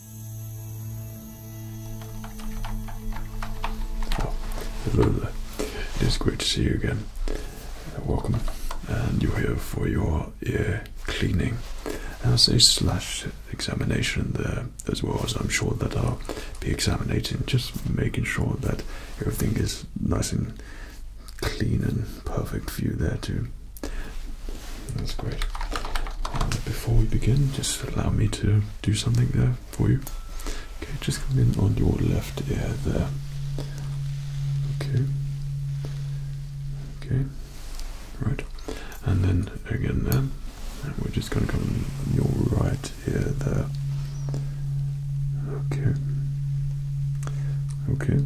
Oh, It is great to see you again. Welcome. And you're here for your ear cleaning. And i slash examination there as well as I'm sure that I'll be examining, just making sure that everything is nice and clean and perfect for you there too. That's great. before we begin, just allow me to do something there for you. Okay, just come in on your left ear there. Okay. Okay. Right. And then again there. we're just going to come on your right ear there. Okay. Okay.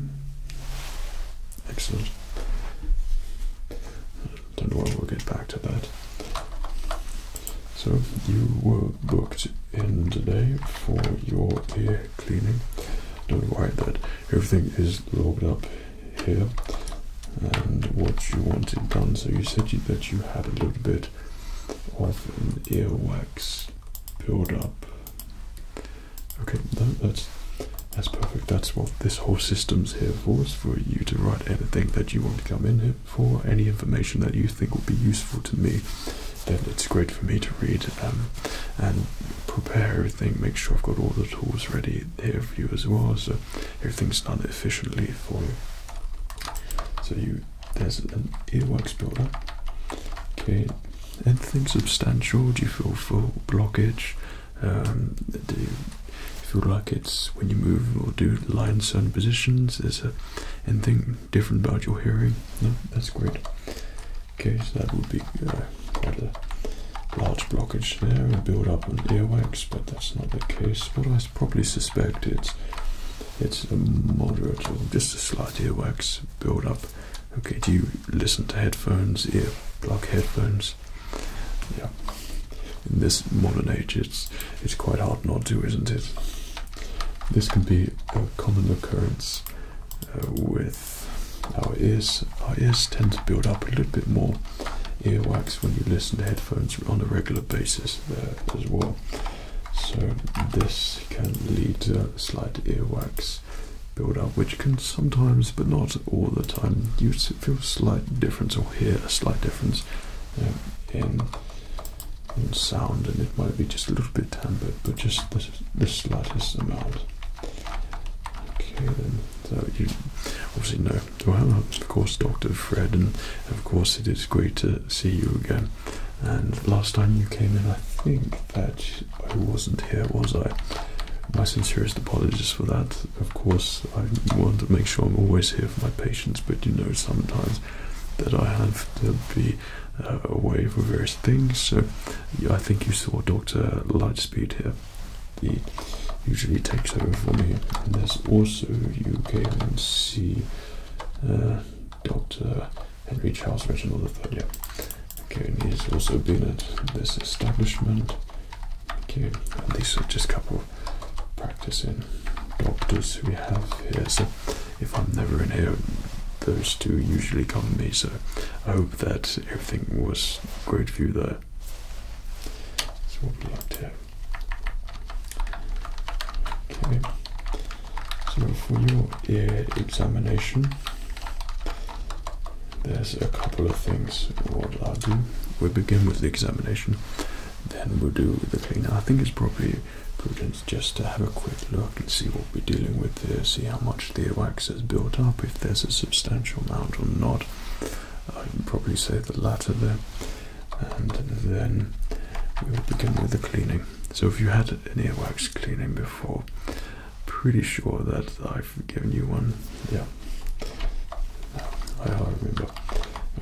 Excellent. Don't worry, we'll get back to that. So you were booked in today for your ear cleaning. Don't worry that everything is logged up here and what you wanted done. So you said that you had a little bit of ear wax build up. Okay, that's that's perfect. That's what this whole system's here for, is for you to write anything that you want to come in here for, any information that you think will be useful to me. Then it's great for me to read um, and prepare everything, make sure I've got all the tools ready here for you as well, so everything's done efficiently for you. So you there's an earwax builder. Okay, anything substantial? Do you feel full blockage? Um, do you feel like it's when you move or do lie in certain positions? Is there anything different about your hearing? that's great. Okay, so that would be uh, quite a large blockage there and build up on earwax, but that's not the case. What I probably suspect it's it's a moderate or just a slight earwax build up. Okay, do you listen to headphones, ear block headphones? Yeah. In this modern age, it's it's quite hard not to, isn't it? This can be a common occurrence uh, with our ears. Our ears tend to build up a little bit more earwax when you listen to headphones on a regular basis uh, as well. So this can lead to slight earwax build up, which can sometimes, but not all the time. You feel a slight difference or hear a slight difference um, in, sound, and it might be just a little bit tempered, but just the, slightest amount. Okay, then. So you obviously know. of course, Dr. Fred, and of course, it is great to see you again. And last time you came in, I think that I wasn't here, was I? My sincerest apologies for that of course, I want to make sure I'm always here for my patients, but you know, sometimes that I have to be uh, away for various things. So, I think you saw Dr. Lightspeed here. He usually takes over for me. And there's also, you can see uh, Dr. Henry Charles Reginald III. Yeah. Okay, he's also been at this establishment. Okay, and these are just a couple of practicing doctors we have here. So if I'm never in here, those two usually come to me. So I hope that everything was great for you there. So what we like here. Okay. So for your ear examination, there's a couple of things what I'll do. We'll begin with the examination, then we'll do the cleaning. I think it's probably prudent just to have a quick look and see what we're dealing with here, see how much the wax has built up, if there's a substantial amount or not. I'd probably say the latter there. And then we will begin with the cleaning. So if you had an earwax cleaning before, pretty sure that I've given you one. Yeah. I remember.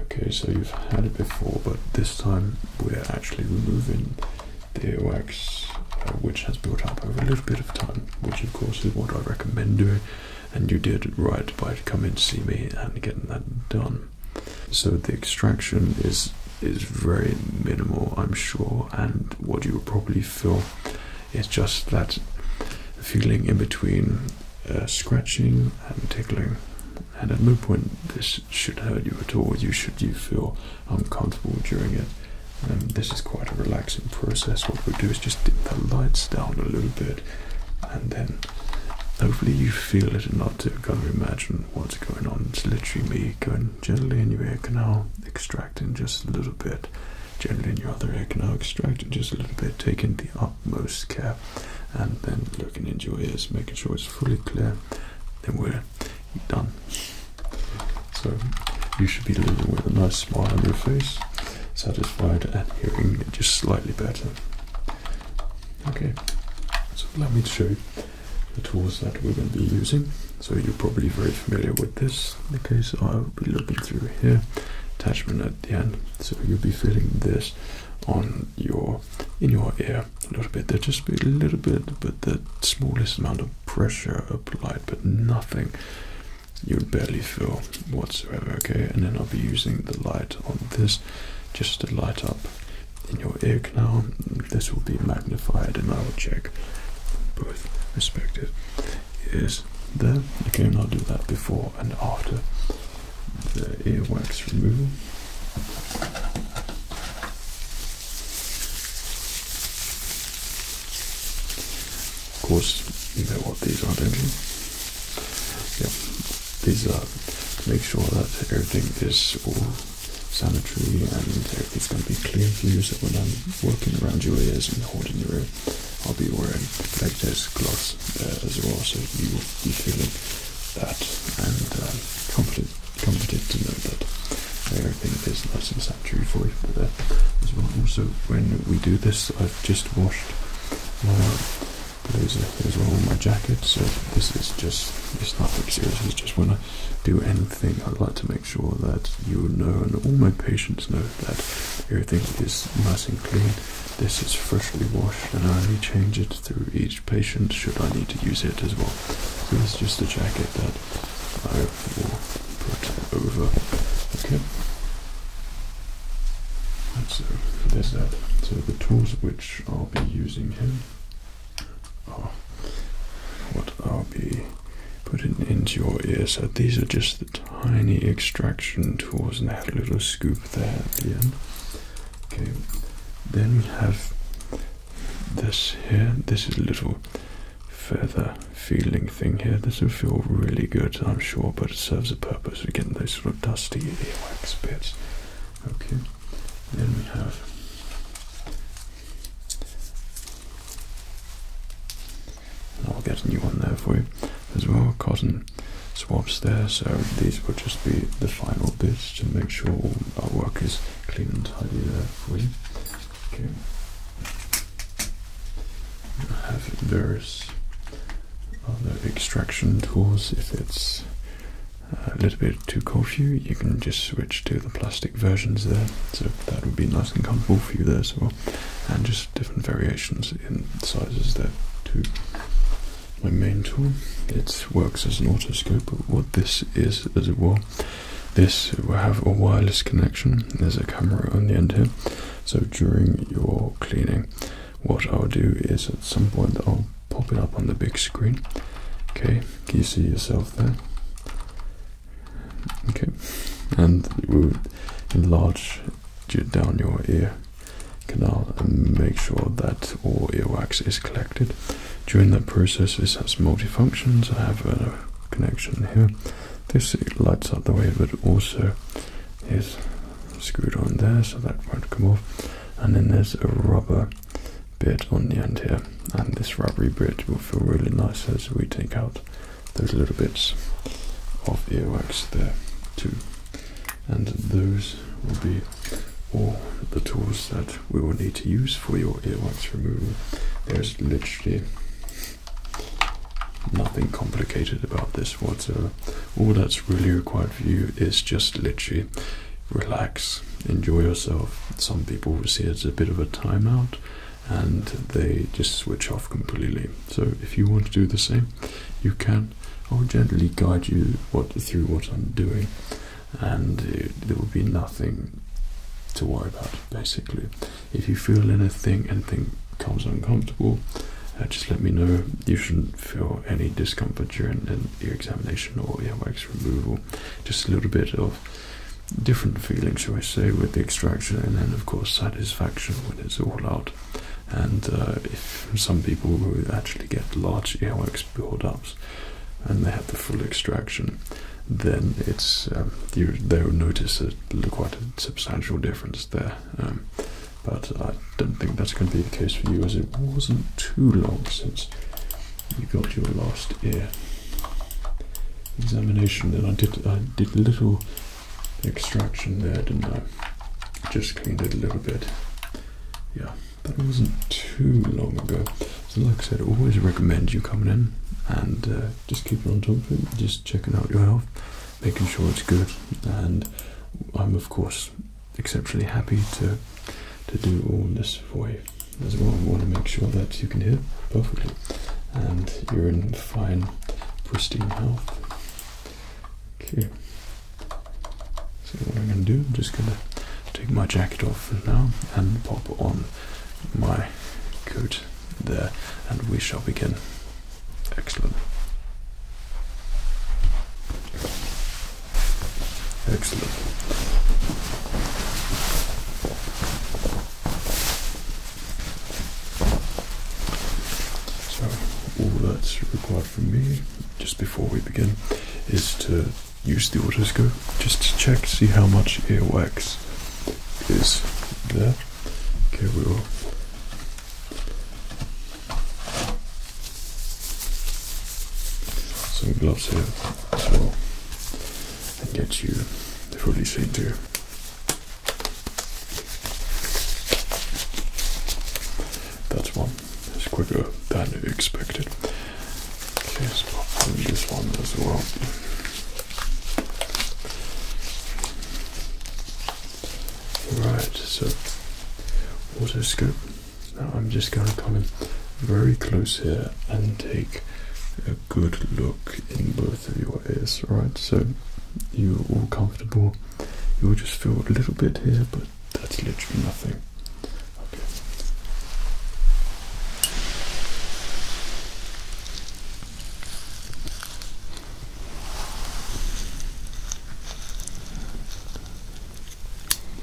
Okay, so you've had it before, but this time we're actually removing the wax, uh, which has built up over a little bit of time, which of course is what I recommend doing, and you did right by coming to see me and getting that done. So the extraction is is very minimal, I'm sure, and what you will probably feel it's just that feeling in between uh, scratching and tickling. And at no point this should hurt you at all. You should feel uncomfortable during it. Um, this is quite a relaxing process. What we do is just dim the lights down a little bit, and then hopefully you feel it enough to kind of imagine what's going on. It's literally me going gently in your ear canal, extracting just a little bit generally in your other ear, can Now extract just a little bit, taking the utmost care, and then looking into your ears, making sure it's fully clear. Then we're done. So you should be leaving with a nice smile on your face, satisfied at hearing just slightly better. Okay, so let me show you the tools that we're going to be using. So you're probably very familiar with this this because I'll be looking through here attachment at the end so you'll be feeling this on your in your ear a little bit there just be a little bit but the smallest amount of pressure applied but nothing you will barely feel whatsoever okay and then I'll be using the light on this just to light up in your ear canal this will be magnified and I will check both respective Yes, there. Okay, and I'll do that before and after the earwax removal. Of course, you know what these are, don't you? Yeah, these are make sure that everything is sanitary and everything's going to be clear for you so when I'm working around your ears and holding your ear I'll be wearing black this clothes uh, as well, so you will be feeling that and uh, confident, to know that everything is nice and sanitary for you for there as well. Also, when we do this, I've just washed my blazer as well on my jacket, so this is just, it's not like serious, it's just when I do anything, I would like to make make sure that you know and all my patients know that everything is nice and clean. This is freshly washed and I only change it through each patient should I need to use it as well. So is just a jacket that I will put over. Okay. And so there's that. So the tools which I'll be using here are what I'll be put it into your ear. So these are just the tiny extraction tools, and they had a little scoop there at the end. Okay, then we have this here. This is a little feather feeling thing here. This will feel really good, I'm sure, but it serves a purpose for getting those sort of dusty ear wax bits. Okay, then we have I'll get a new one there for you as well. Cotton swabs there, so these will just be the final bits to make sure our work is clean and tidy there for you. Okay. I have various other extraction tools. If it's a little bit too cold for you, you can just switch to the plastic versions there. So that would be nice and comfortable for you there as well and just different variations in sizes there To My main tool, it works as an autoscope, but what this is as well, this will have a wireless connection. There's a camera on the end here, so during your cleaning, what I'll do is at some point I'll pop it up on the big screen. Okay, can you see yourself there? Okay, and it will enlarge down your ear canal and make sure that all earwax is collected. During that process, this has multifunctions. I have a connection here. This lights up the way, but also is screwed on there, so that won't come off. And then there's a rubber bit on the end here, and this rubbery bit will feel really nice as we take out those little bits of earwax there too. And those will be all the tools that we will need to use for your earwax removal. There's literally nothing complicated about this whatsoever. All that's really required for you is just literally relax, enjoy yourself. Some people will see it as a bit of a timeout and they just switch off completely. So if you want to do the same, you can. I'll gently guide you through what I'm doing, and there will be nothing to worry about. Basically, if you feel anything, anything comes uncomfortable, uh, just let me know. You shouldn't feel any discomfort during an ear examination or wax removal. Just a little bit of different feelings, shall I say, with the extraction, and then, of course, satisfaction when it's all out. And uh, if some people who actually get large earwax build-ups and they have the full extraction, then it's um, you, they'll notice a, quite a substantial difference there. Um, but I don't think that's going to be the case for you, as it wasn't too long since you got your last ear examination and I did I did a little extraction there, didn't I? Just cleaned it a little bit. Yeah, But it wasn't too long ago. So like I said, always recommend you coming in and uh, just keeping on top of it, just checking out your health, making sure it's good. And I'm of course exceptionally happy to to do all this for you as well. We want to make sure that you can hear perfectly and you're in fine, pristine health. Okay. So what I'm going to do, I'm just going to take my jacket off now and pop on my coat there, and we shall begin. Excellent. Excellent. So, all that's required from me just before we begin is to use the autoscope just to check, see how much earwax is there. Okay, we will. Some gloves here as well and get you the fully shade That's one It's quicker than expected. Okay, so on this one as well. Right, so water Now I'm just going to come in very close here and take a good look in both of your ears, right? So you're all comfortable. You'll just feel a little bit here, but that's literally nothing. Okay.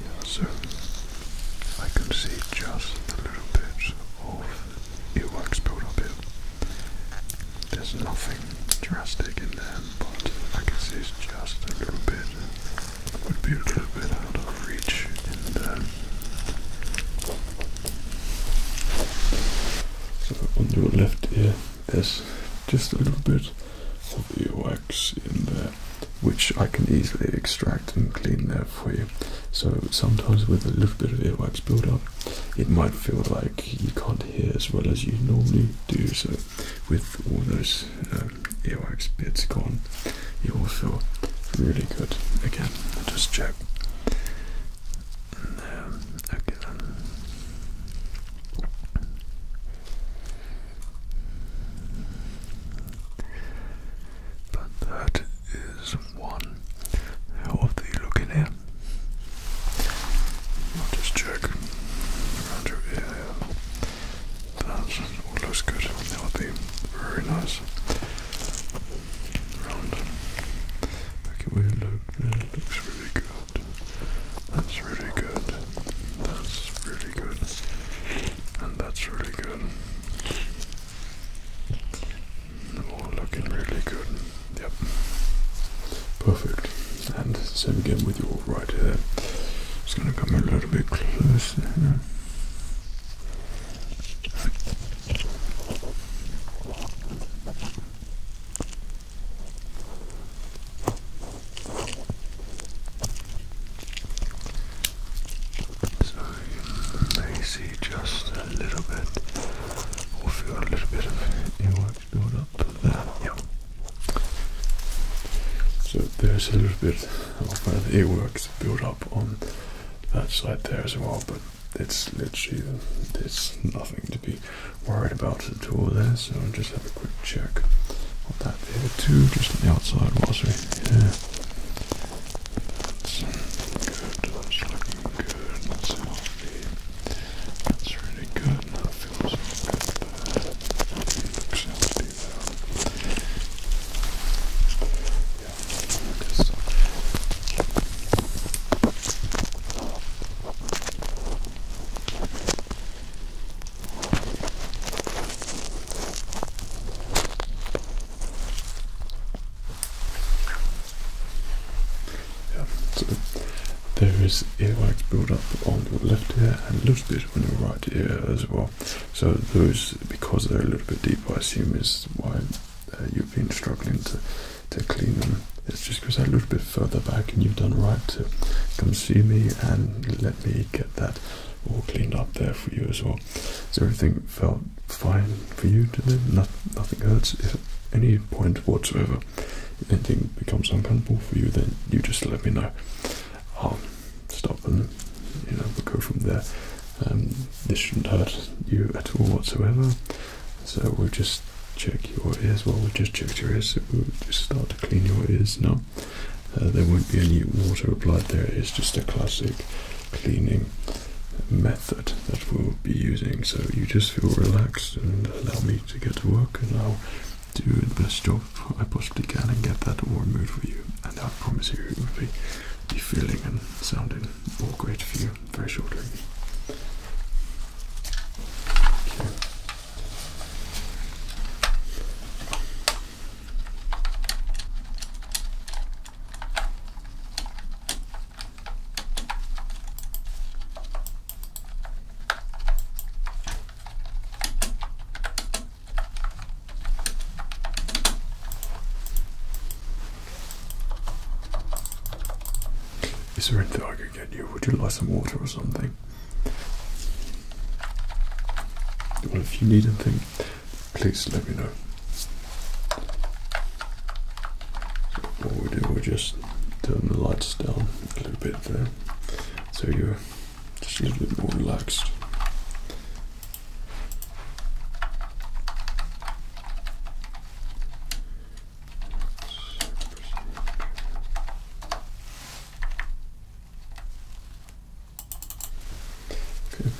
Yeah, so I can see just a little bit of earwax build up here. There's nothing drastic in there, but I guess it's just a little bit, would be a little bit out of reach in there. So on your left ear, there's just a little bit of earwax in there, which I can easily extract and clean there for you. So sometimes with a little bit of earwax buildup, it might feel like you can't hear as well as you normally do. So with all those um, earwax bits gone, you will feel really good again. Just check. Um, okay then. But that is one How are healthy looking ear. I'll just check around your ear. That looks good. That very nice. Round. Make look. it looks really good. That's really good. That's really good. And that's really good looking really good. Yep. Perfect. And same again with your right ear. Just gonna come a little bit closer. So you may see just a little bit or feel a little bit of earwax build up Yeah. So there's a little bit of an earwax build up on that side there as well, but it's literally there's nothing to be worried about at all there. So just have a quick check on that there too, just on the outside whilst we that's good, that's looking good, that's healthy. That's really good, that feels so good there. Looks healthy there. Yeah, focus. Good. Yeah, so there is earwax build up on your left ear and a little bit on your right ear as well. So those, because they're a little bit deeper, I assume is why uh, you've been struggling to to clean them. It's just because they're a little bit further back, and you've done right to come see me and let me get that all cleaned up there for you as well. So everything felt fine for you today. nothing hurts. If any point whatsoever anything becomes uncomfortable for you, then you just let me know. I'll stop and you know we'll go from there. Um, this shouldn't hurt you at all whatsoever. So we'll just check your ears. Well, we have just checked your ears. we'll just start to clean your ears now. Uh, there won't be any water applied there. It's just a classic cleaning method that we'll be using. So you just feel relaxed and allow me to get to work and I'll do the best job I possibly can and get that warm mood for you. And I promise you it will be, feeling and sounding all great for you very shortly. Is there anything I can get you? Would you like some water or something? Well, if you need anything, please let me know. What we'll do, we just turn the lights down a little bit there so you're just a little bit more relaxed. Okay.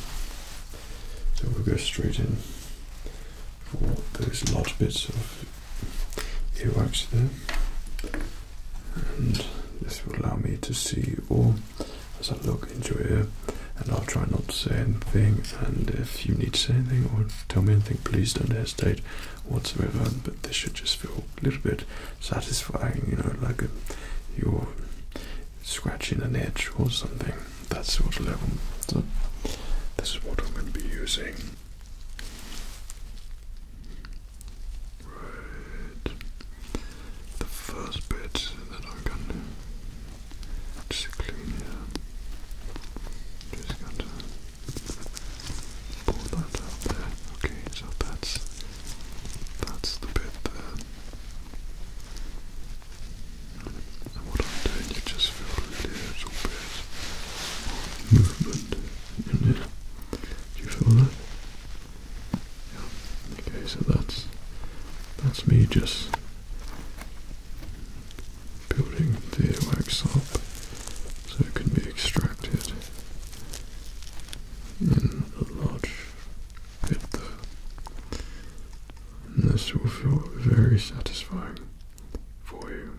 So we'll go straight in for those large bits of earwax there. And this will allow me to see all as I look into your And I'll try not to say anything. And if you need to say anything or tell me anything, please don't hesitate whatsoever. But this should just feel a little bit satisfying, you know, like a, your scratching an edge or something, that sort of level. So this is what I'm going to be using. Right. The first bit that I'm just clean here. Just going to pull that out there. Okay, so that's that's the bit there. And what I'm doing, you just feel really little bit movement you feel that? Okay, so that's that's me just building the wax up so it can be extracted in a large and this will feel very satisfying for you.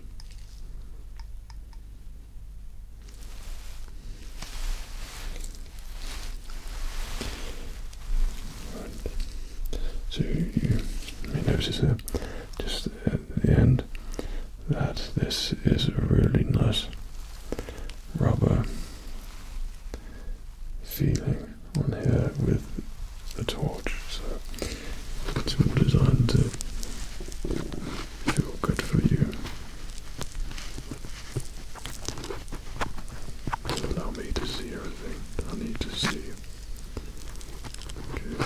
So you, notice there, just at the end, that this is a really nice rubber feeling on here with the torch. So it's all designed to feel good for you. So allow me to see everything I need to see. Okay.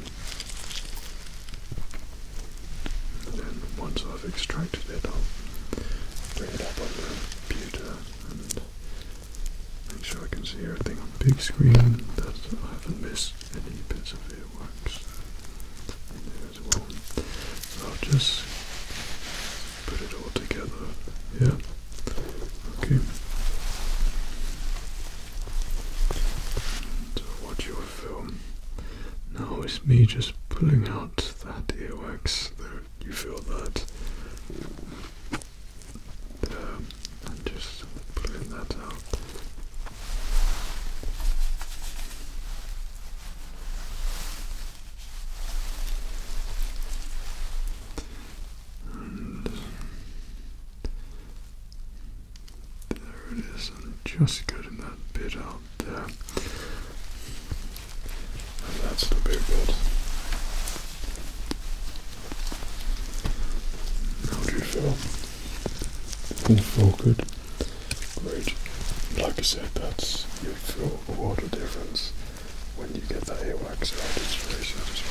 And then once I've extracted it, I'll bring it up on the computer and make sure I can see everything on the big screen that I haven't missed any bits of earwax there as well. I'll just put it all together Yeah. Okay. So uh, watch your film. Now it's me just pulling out that earwax there you feel that. Um, and just pulling that out. And there it is, just getting that bit out there that's the big bit. How do you feel? feel good? Great. Like I said, that's you feel a world of difference when you get that earwax out. It's very satisfying.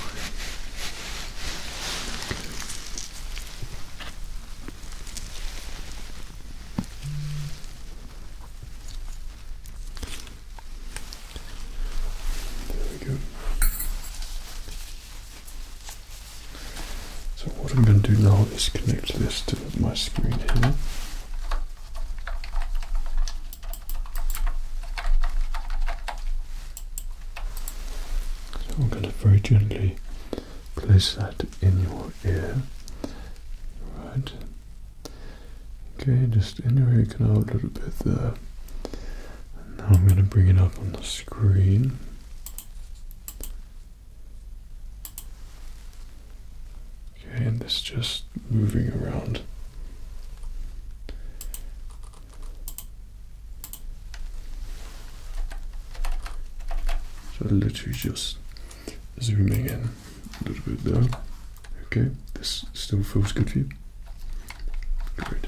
So what I'm going to do now is connect this to my screen here. So I'm going to very gently place that in your ear. Right. Okay, just in your hold it a little bit there. now I'm going to bring it up on the screen. Okay, and this just moving around. So literally just zooming in a little bit there. Okay, this still feels good for you. Great.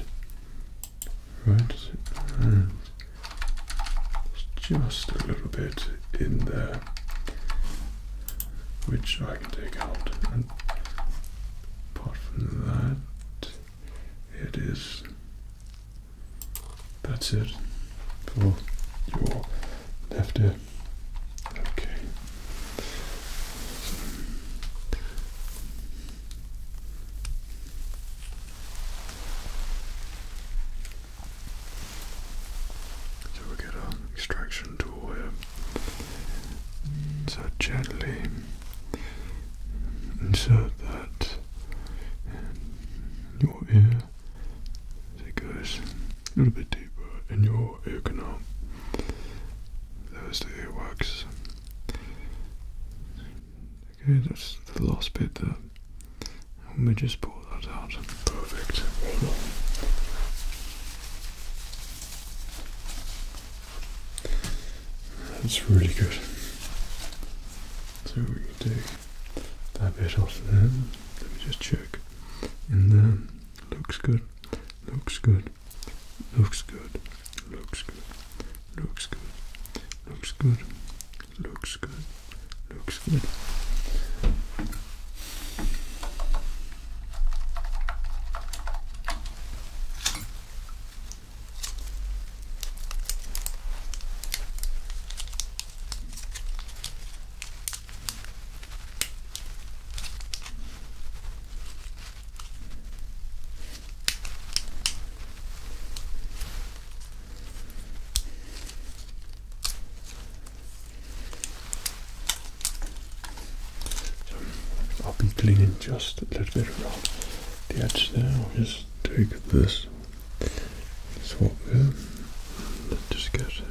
Right, and just a little bit in there, which I can take out. apart from that, it is. That's it for your left ear. So we get our extraction tool here. So gently insert that in your ear as it goes a little bit deeper in your ear canal. There's the earwax. Okay, that's the last bit there. Let me just pull that out. Perfect. That's really good. So we can take that bit off there. Let me just check in there looks good, looks good, looks good, looks good, looks good, looks good, looks good, looks good. I'll be cleaning just a little bit around the edge there. I'll just take this swap here and just get it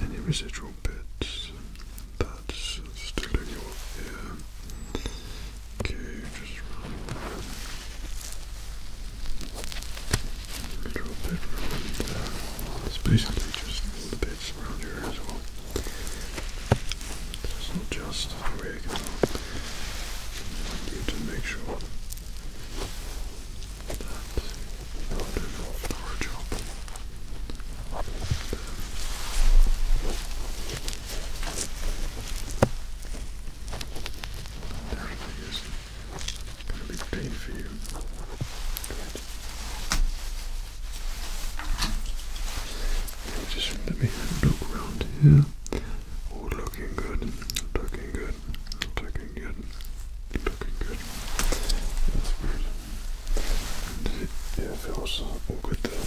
any residual bits that's still in your ear. Okay, just run a around there. It's basically just the bits around here as well. It's not just the way it need to make sure our job. Definitely is Just let me look around here. All looking good. Looking good good. Looking good. Looking good. That's good. And yeah, it feels all good there.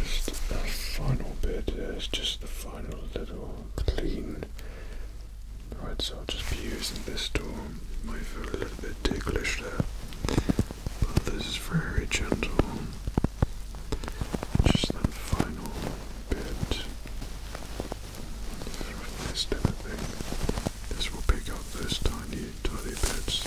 just a final bit. Yeah, just the final little clean. Right, so I'll just be using this tool. Might feel a little bit ticklish there, but this is very gentle. Just that final bit this will pick up those tiny, tiny bits.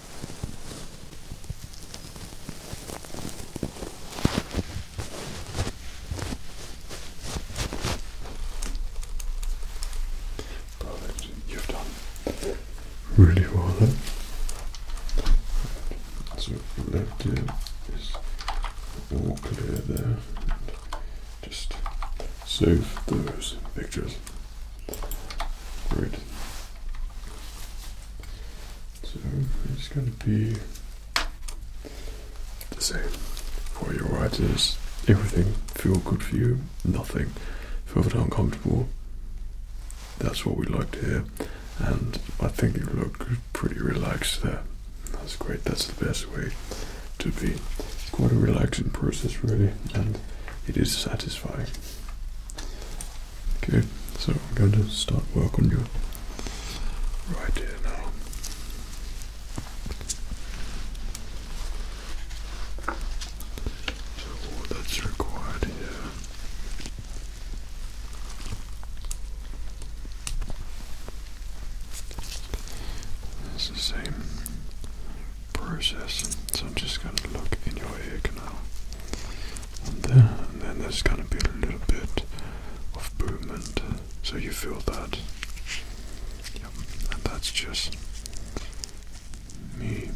Perfect. You've done really well then. So left ear is all clear there. Just save those pictures. Great. So it's going to be the same for your right ears. Everything feel good for you, nothing feel uncomfortable. That's what we like to hear, and I think you look pretty relaxed there. That's great. That's the best way to be. It's quite a relaxing process, really, and it is satisfying. Okay, so I'm going to start work on you right here now. So that's required here it's the same process. So I'm just going to look in your ear canal and then, then there's going to be a little bit of movement so you feel that and that's just me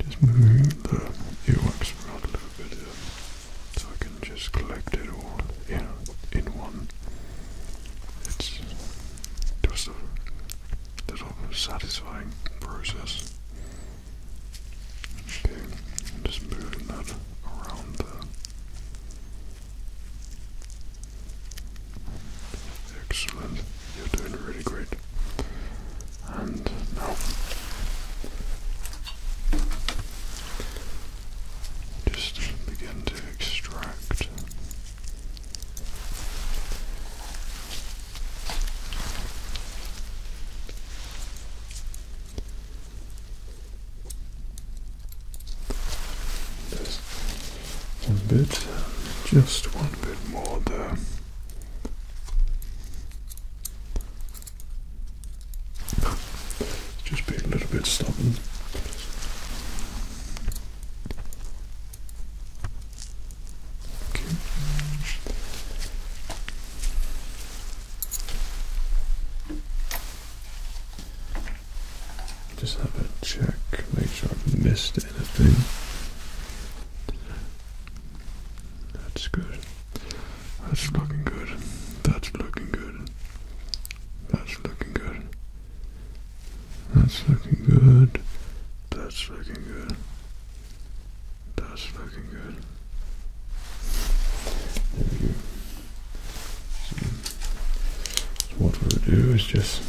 just moving the earwax around a little bit so I can just collect it all in, in one it's just a little satisfying process Okay, just moving that around Excellent, you're doing really great. And now, just begin to extract there's one bit, just one bit more there. Just being a little bit stubborn. Just have a check, make sure I've missed anything. That's good. That's looking good. That's looking good. That's looking good. That's looking good. That's looking good. That's looking good. There we go. So what we'll do is just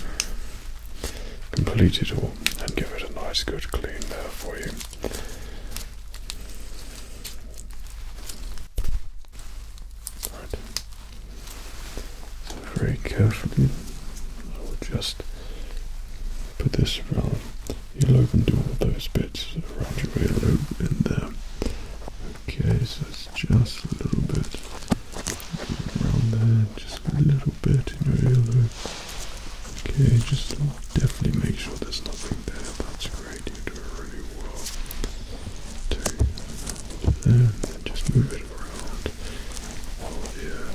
complete it all and give it a nice good clean there for you. very carefully, we will just put this around you'll open to all those bits around your earlobe in there. Okay, so it's just a little bit around there, just a little bit in your earlobe. Okay, just definitely make sure there's nothing there. That's great, you are doing really well. there, just move it around. yeah.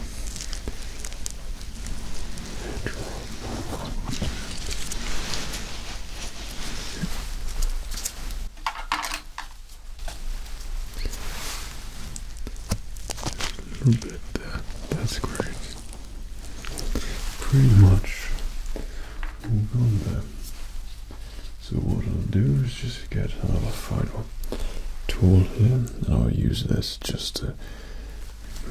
A little bit there. That's great. Pretty much all there. So what I'll do is just get another final tool here and I'll use this just to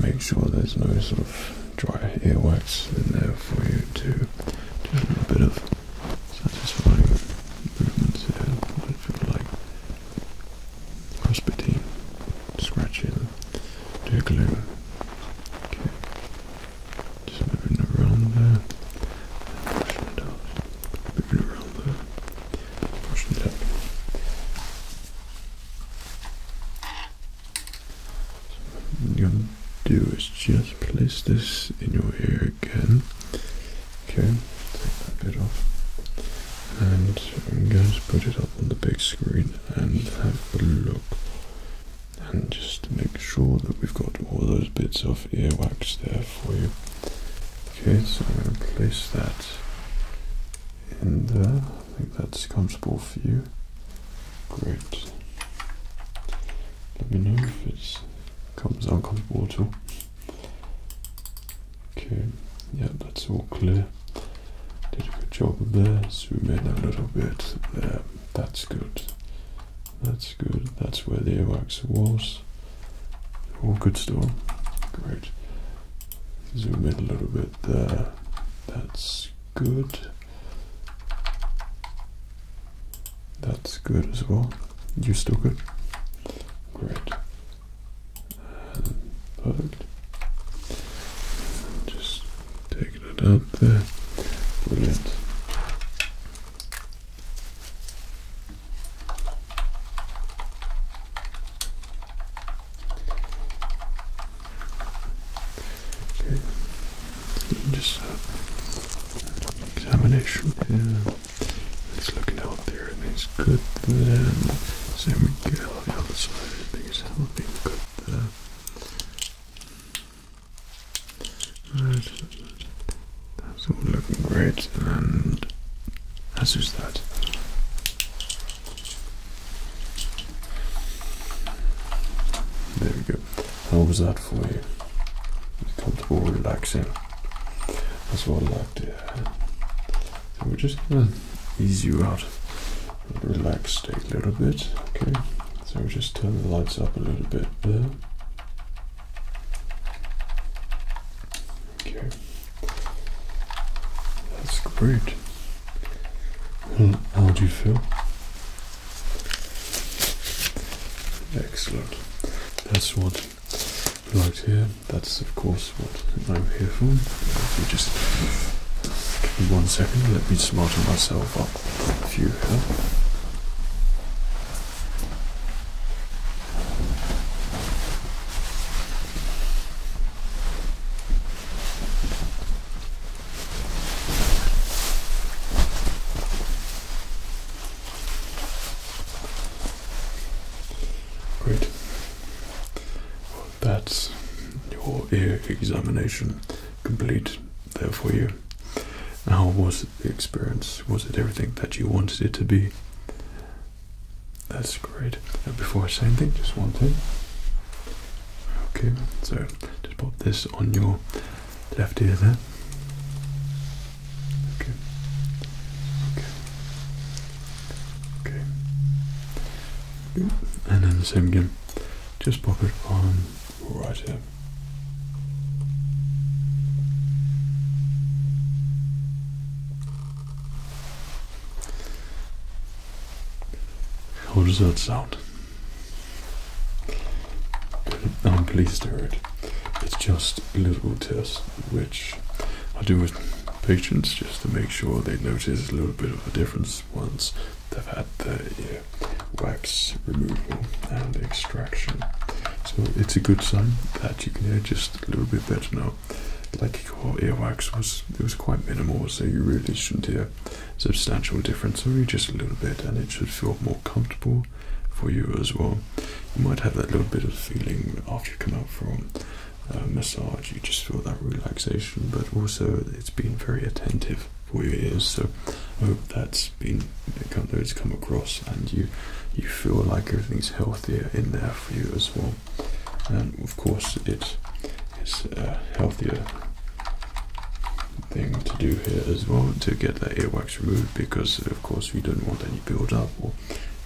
make sure there's no sort of dry earwax in there for you to do a little bit of satisfying movements here. I feel like crossbiting, scratching, jiggling. Okay, just moving around there, pushing it moving around there, pushing it I'm gonna do is just place this in your ear again. Okay, take that bit off. And I'm going to put it up on the big screen and have a look. And just make sure that we've got all those bits of earwax there for you. Okay, so I'm going to place that and I think that's comfortable for you. Great. Let me know if it comes uncomfortable at Okay, yeah, that's all clear. Did a good job there. Zoom in a little bit there. That's good. That's good. That's where the earwax was. All good still. Great. Zoom in a little bit there. That's good. That's good as well. You're still good? Great. perfect. Just taking it out there. Brilliant. Okay. Just uh, examination here. It's looking out there it's good there. Same we the other side. I think it's looking good there. That's all looking great. And as that. There we go. How was that for you? Comfortable, relaxing. That's what I like to we're just gonna ease you out, relax, a little bit. Okay. So we just turn the lights up a little bit there. Okay. That's great. how do you feel? Excellent. That's what I like here. That's, of course, what I'm here for. just give me one second, let me smarten myself up a few here. Great. Well, that's your ear examination complete there for you. How was the experience? Was it everything that you wanted it to be? That's great. before I say anything, just one thing. Okay, so just pop this on your left ear there. Okay. Okay. Okay. And then the same again. Just pop it on right here. How does that sound? I'm pleased to hear it. It's just a little test which I do with patients just to make sure they notice a little bit of a difference once they've had the uh, wax removal and extraction. So it's a good sign that you can hear just a little bit better now like your earwax was it was quite minimal, so you really shouldn't hear substantial difference. Only just a little bit, and it should feel more comfortable for you as well. You might have that little bit of feeling after you come out from a massage. You just feel that relaxation, but also it's been very attentive for your ears. So I hope that's been that it's come across, and you you feel like everything's healthier in there for you as well and of course it is a healthier thing to do here as well to get the earwax removed because of course we don't want any build-up or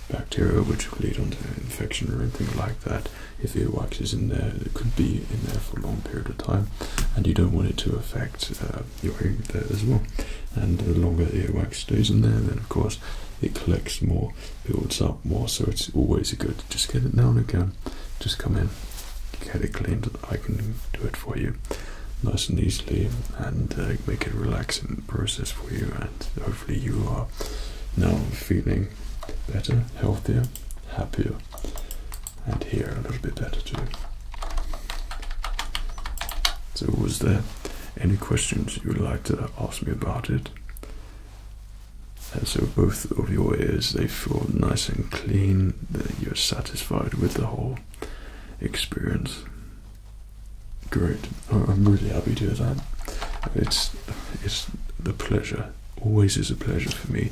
bacteria which could lead on to infection or anything like that if earwax is in there it could be in there for a long period of time and you don't want it to affect uh, your ear there as well and the longer earwax stays in there then of course it collects more, builds up more, so it's always good. Just get it down again, just come in, get it cleaned, I can do it for you nice and easily and uh, make it a relaxing process for you and hopefully you are now feeling better, healthier, happier and here a little bit better too. So was there any questions you would like to ask me about it? And so both of your ears they feel nice and clean. That you're satisfied with the whole experience. Great. I'm really happy to hear that. It's it's the pleasure. Always is a pleasure for me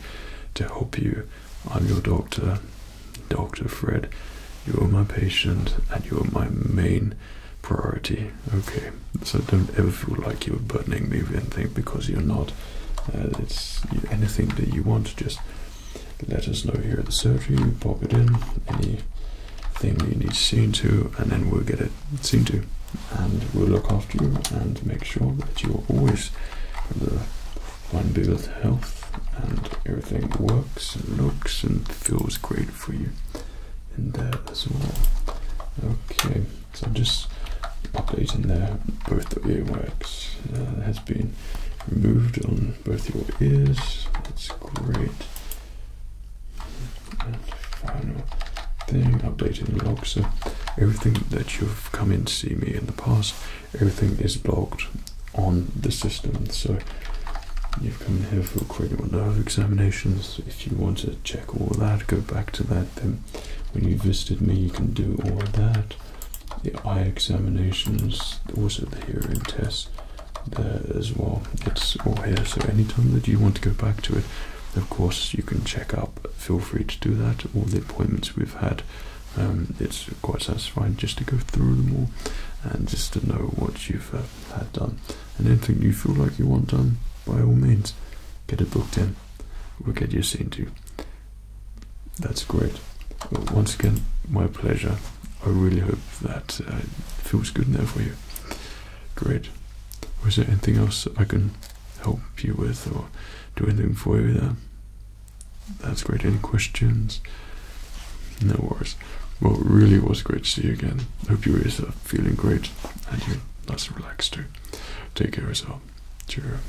to help you. I'm your doctor, Doctor Fred. You are my patient, and you are my main priority. Okay, so don't ever feel like you're burdening me with anything because you're not. Uh, it's anything that you want, just let us know here at the surgery, pop it in, Any thing you need seen to, and then we'll get it seen to. And we'll look after you and make sure that you're always in the fine health and everything works and looks and feels great for you and uh, that as well. Okay, so I'm just updating there both earwax uh, has been removed on both your ears. That's great. And final thing, updating log. So everything that you've come in to see me in the past, everything is blocked on the system. So you you've come here for a quick of examinations. If you want to check all that, go back to that. Then, when you visited me, you can do all that. The eye examinations, also the hearing tests, there as well. It's all here. So any time that you want to go back to it, of course you can check up. Feel free to do that. All the appointments we've had. Um, it's quite satisfying just to go through them all and just to know what you've that done and anything you feel like you want done, by all means, get it booked in. We'll get you seen to. That's great. once again, my pleasure. I really hope that uh, feels good now for you. Great. Was there anything else I can help you with or do anything for you there? That's great. Any questions? No worries thanks. Well, really was great to see you again. Hope you guys are feeling great and you're nice and relaxed too. Take care of yourself. Cheers.